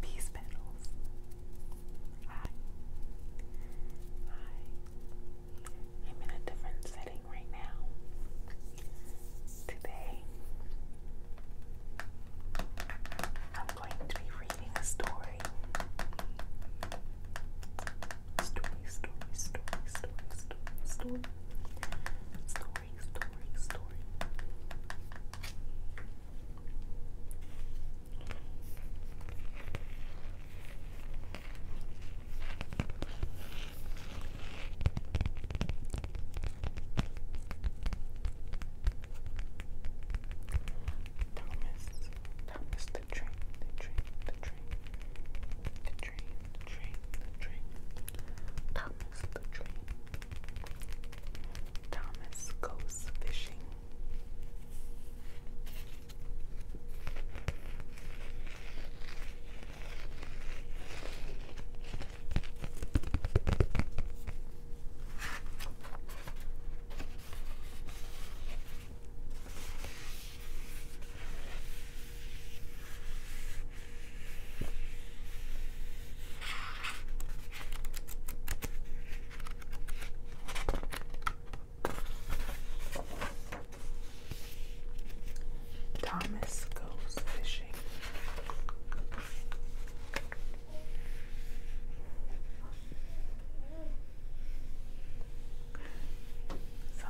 Peace petals. Hi. Hi. I'm in a different setting right now. Today, I'm going to be reading a story. Story, story, story, story, story, story, story, story, story. Thomas, Thomas the train, the train, the train, train, the Thomas the train. Thomas goes fishing. Thomas goes fishing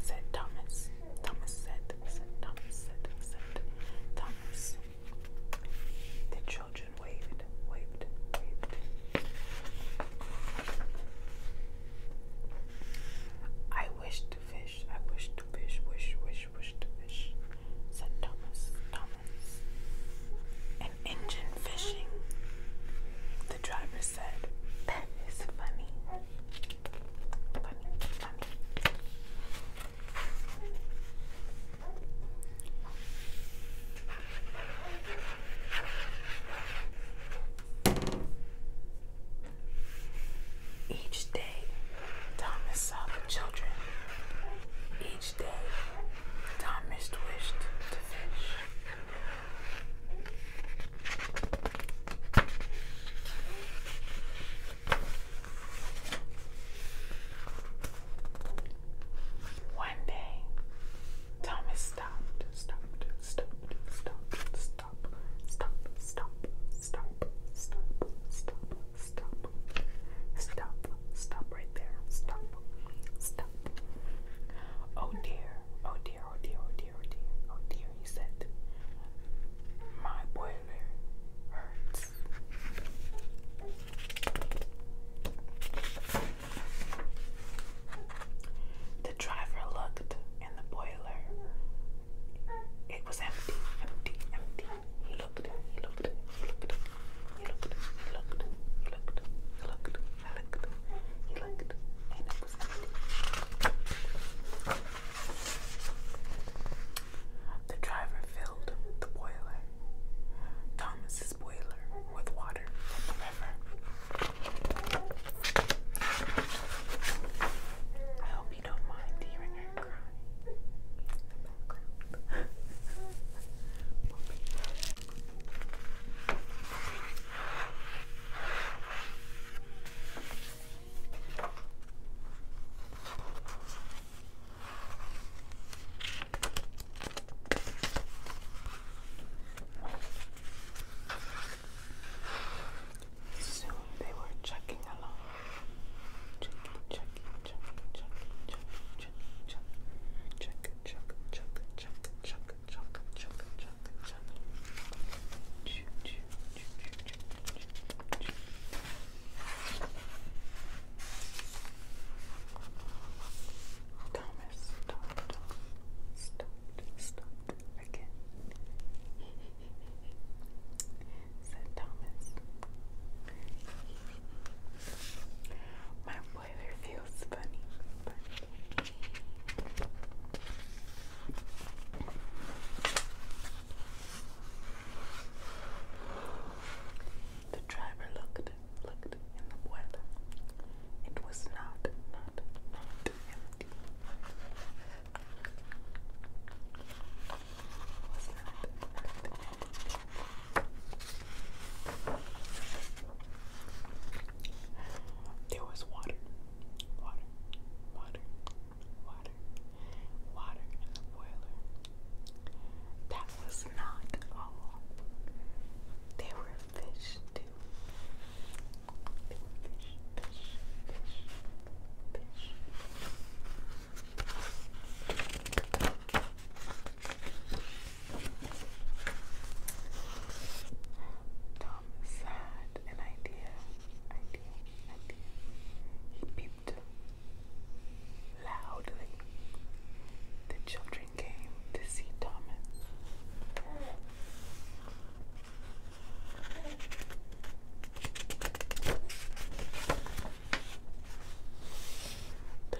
said Thomas. Thomas said, said Thomas said, said Thomas. The children waved, waved, waved. I wish to fish, I wish to fish, wish, wish, wish to fish, said Thomas, Thomas. An engine fishing. The driver said, That is funny. Each day, Thomas saw the children. Each day, Thomas wished to fish. One day, Thomas stopped, stopped, stopped, stopped, stopped, stopped, stopped, stopped, stopped, stopped, stopped, stop, stop right there, stop, stop. Oh dear, oh dear, oh dear, oh dear, oh dear, oh dear, he said. My boiler hurts. The driver looked in the boiler. It was empty, empty, empty. He looked, he looked, he looked, he looked, he looked, he looked, he looked, he looked, he looked, and it The driver filled the boiler, Thomas's boiler, with water from the river. I hope you don't mind hearing her cry Soon they were chugging along. Chuck, chuck, chuck, chuck, chuck, chuck, chuck, chuck, chuck, chuck, chunk, chunk, chunk, chunk, chunk, chunk. Thomas, stop, stop, stop again. Said Thomas. My the driver looked, looked in the weather. It was not, not, not there was water, water, water, water, water in the boiler. That was not all. There were fish too. There fish, fish, fish, fish. Tom had an idea, idea, idea. He peeped loudly. The children came to see Thomas. The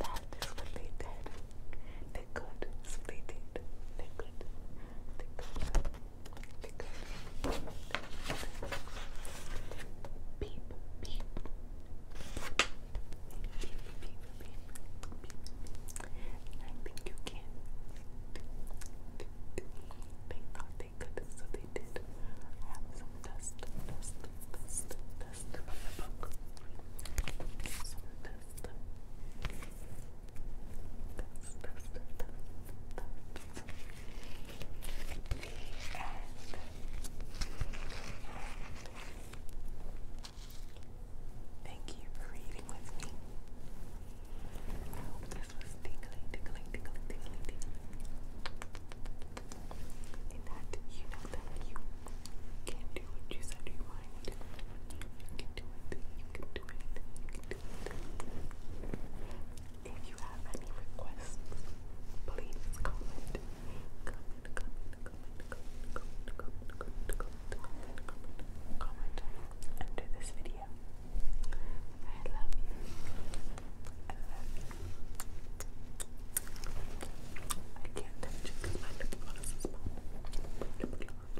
That is what they did. They could. So they did. They could. They could. They could. Beep, beep. I think you can. They thought they could, so they Thank you for reading with me in you If you have any requests, please comment under this video. I love you. I love I can't touch you because my lip gloss is popping. Lip gloss,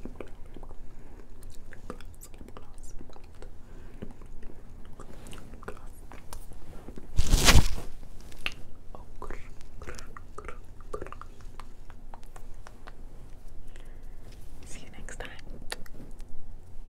lip gloss, lip gloss, lip gloss, See you next time.